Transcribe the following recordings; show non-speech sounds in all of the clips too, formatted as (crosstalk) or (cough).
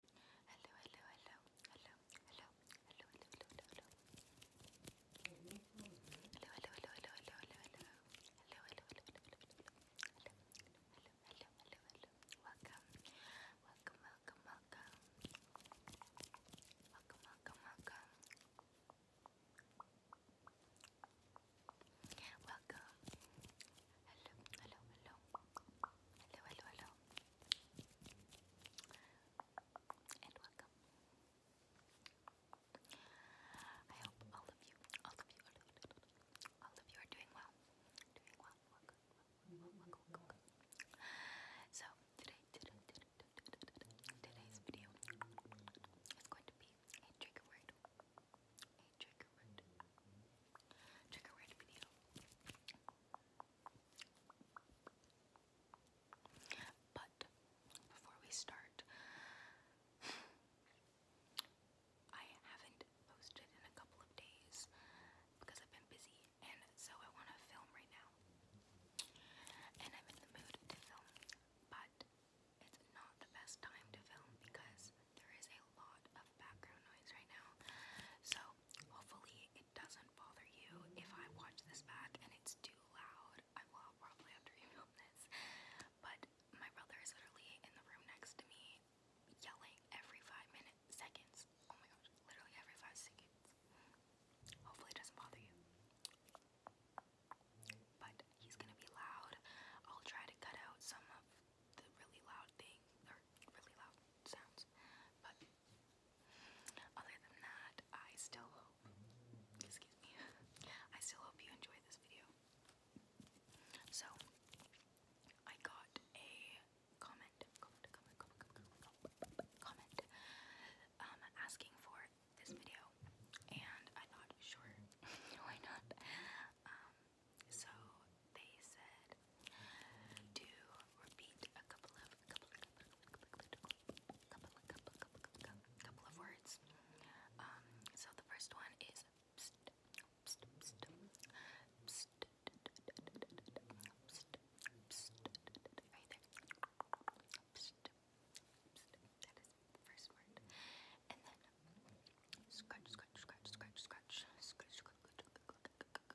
Hello, hello, hello, hello, hello, hello, hello, hello, hello. Hello, hello, hello, hello, hello, hello, hello. Hello, hello, hello, hello, hello, hello. Hello, hello, hello, hello, hello. Welcome, welcome, welcome, welcome. Welcome, welcome, welcome. Welcome, Hello, hello, hello. Hello, hello, hello. welcome. I hope all of you, all of you, all of you, are doing well. Doing well, welcome, welcome, welcome, So, today, today, today's video is going to be a trigger word. A trigger word. Trigger word video. But before we start, I haven't posted in a couple of days because I've been busy, and so I want to film right now. And I'm in the mood to film, but it's not the best time to film because there is a lot of background noise right now. So hopefully it doesn't bother you if I watch this back and it's too loud. I will probably have to remove this. But my brother is literally in the room next to me yelling every five minutes seconds. Oh my gosh, literally every five seconds. Hopefully it doesn't bother you. But he's gonna be loud. I'll try to cut out some of the really loud thing or really loud sounds. But other than that, I still hope excuse me. (laughs) I still hope you enjoyed this video. So I got a comment, comment, comment, comment, comment, comment um asking for this video and I thought sure (laughs) why not? Um so they said to repeat a couple of couple of couple of couple of couple of words. Um, so the first one is right there. that is the first word. And then scratch scratch scratch scratch scratch scratch scratch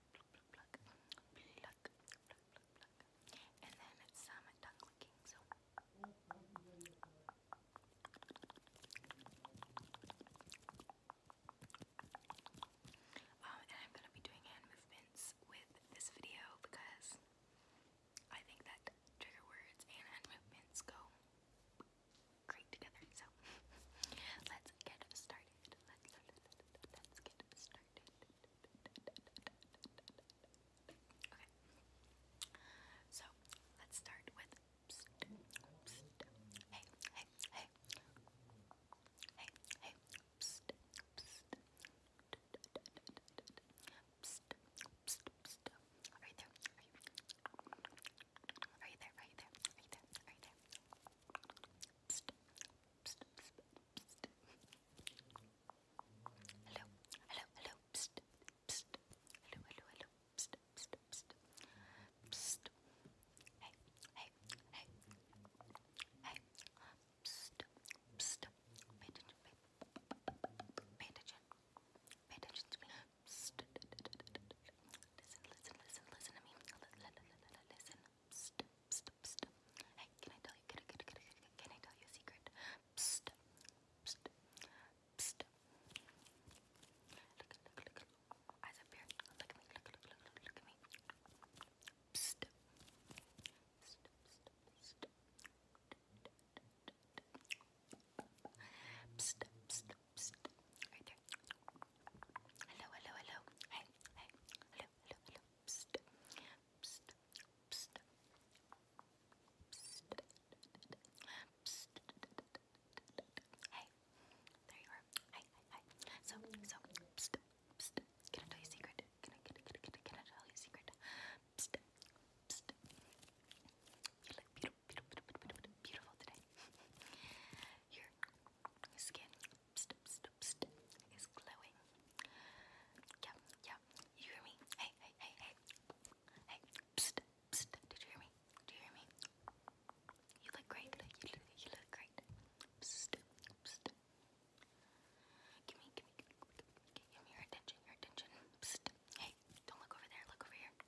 pluck, pluck, and then some tongue So. Um, and I'm gonna be doing hand movements with this video because I think that trigger words and hand movements go great together. So let's get started let's, get started. Okay, so let's start with. Hey, hey, hey. Hey, hey. Psst, you there? Are there? Are there? Are there? Are there? Psst, psst, Hello, hello, hello. Hey, hey, hey. Hey. Pay attention, pay, attention. Pay attention to me. Listen, listen, listen, listen to me. Listen, listen, listen. Hey, can I tell you? Can I, can I, can I tell you a secret? Psst, psst, psst. Look, look, look, look. Eyes up Look at me. Look, look, look, look, at me. Psst, psst, psst, psst. Psst, psst, psst. Right there. Hello, hello, hello. Hey, hey. Hello, hello, hello, Hey, there you are. Hi, hi, So, so, Can I tell you a secret? Can I, can I, can I, can I tell you a secret? You look beautiful, beautiful, beautiful, beautiful today. Your skin, lipstick is glowing. Yeah, yeah. You hear me? Hey, hey, hey, hey. Hey, psst, psst. Did you hear me? Do you hear me? You look great. You look, you look great. Psst, psst. Give me, give me, give me, your attention, your attention. Hey, don't look over there. Look over here. (laughs) okay.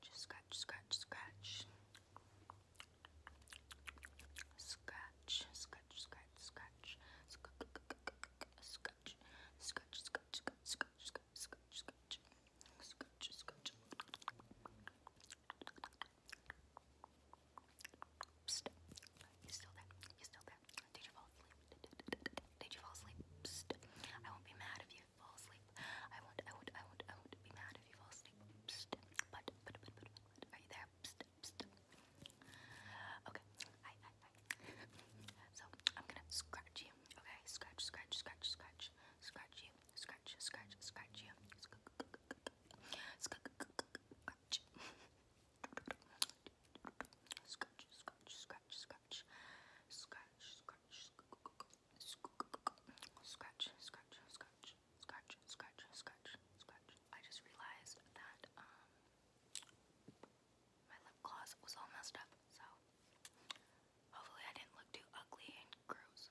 Just scratch, scratch, scratch. Scratch, scratch, scratch, scratch. Scratch, scratch, scratch, scratch, scratch, scratch, scratch, scratch. Scratch, scratch. Psst. You still there? You still there? Did you fall asleep? Did you fall asleep? Psst. I won't be mad if you fall asleep. I won't, I won't, I won't, I won't be mad if you fall asleep. Psst, but, but, but, but, but, are you there? Psst, psst. Okay, hi, hi, hi. so, I'm gonna scratch you, okay? Scratch, scratch, scratch, scratch, scratch you, scratch, scratch, scratch you, scratch, scratch. Scratch, scratch, scratch, scratch, scratch, scratch, Scratch, scratch, scratch, scratch, scratch, scratch, scratch. I just realized that um my lip gloss was all messed up, so hopefully I didn't look too ugly and gross,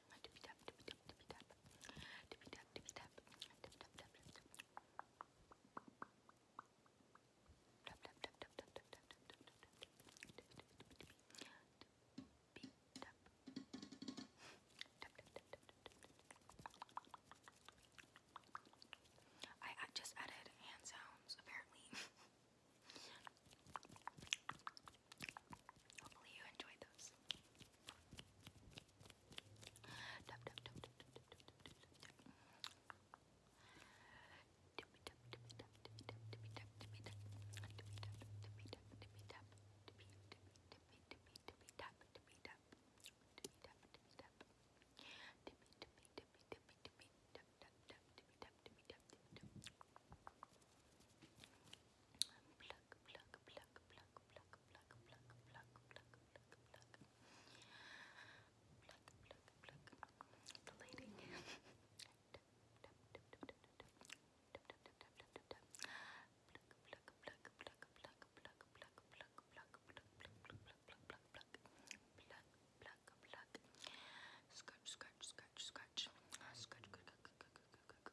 Tippy tap, I just added hand sounds apparently. (laughs) Hopefully you enjoyed those pluck, pluck, pluck, pluck, pluck, pluck, pluck, pluck, pluck, pluck, pluck. Pluck, pluck, pluck. The lighting. Pluck, pluck, pluck, pluck, pluck, pluck, pluck, pluck, pluck, pluck, pluck, pluck, pluck, pluck, pluck, pluck, pluck. Scratch, scratch, scratch, scratch. Scratch, scratch, scratch,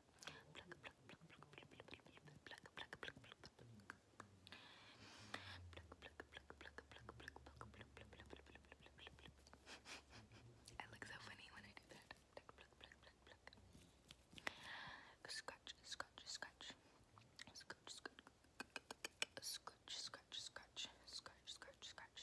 I look so funny when I do that. Scratch, scratch, scratch. Scratch, scratch, scratch, scratch, scratch, scratch, scratch, scratch.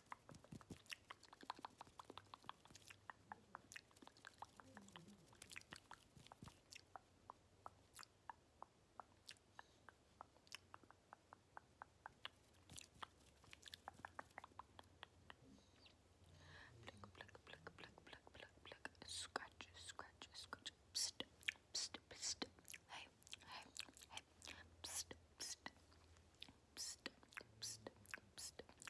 Pluck, pluck, pluck, pluck, pluck, pluck, pluck. Scratch, scratch, scratch. Psst, psst, psst. Hey, hey, hey. Psst, psst. Psst, psst, psst.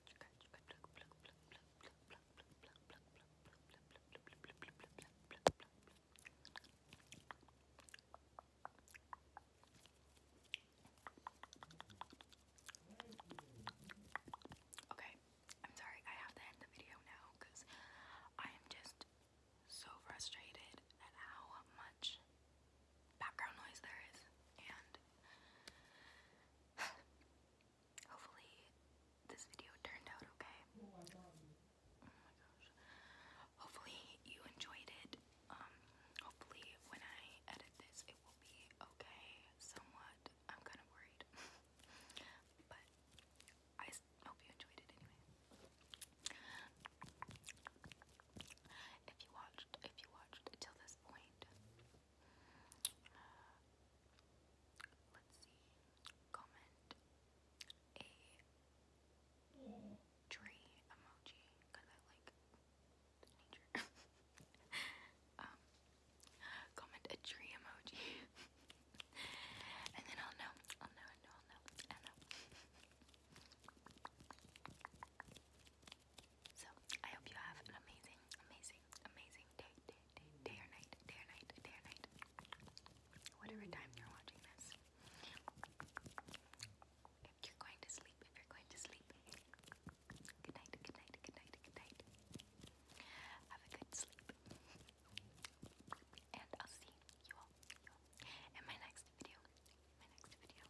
scratch, scratch, Okay, I'm sorry I have to end the video now because I am just so frustrated at how much background noise there is and (sighs) Hopefully this video turned out okay. Oh oh hopefully you enjoyed it. Um, hopefully when I edit this it will be okay somewhat. I'm kind of worried. (laughs) but I hope you enjoyed it anyway. If you watched, if you watched till this point, Let's see. Comment a tree emoji because I like nature. (laughs) um, comment a tree emoji, (laughs) and then I'll know. I'll know. I know. i know. So I hope you have an amazing, amazing, amazing day, day, day, or night, day or night, day or night. Whatever time you're watching this. If you're going to sleep, if you're going to sleep. Good night, good night, good night, good night. Have a good sleep. And I'll see you all in my next video. My next video.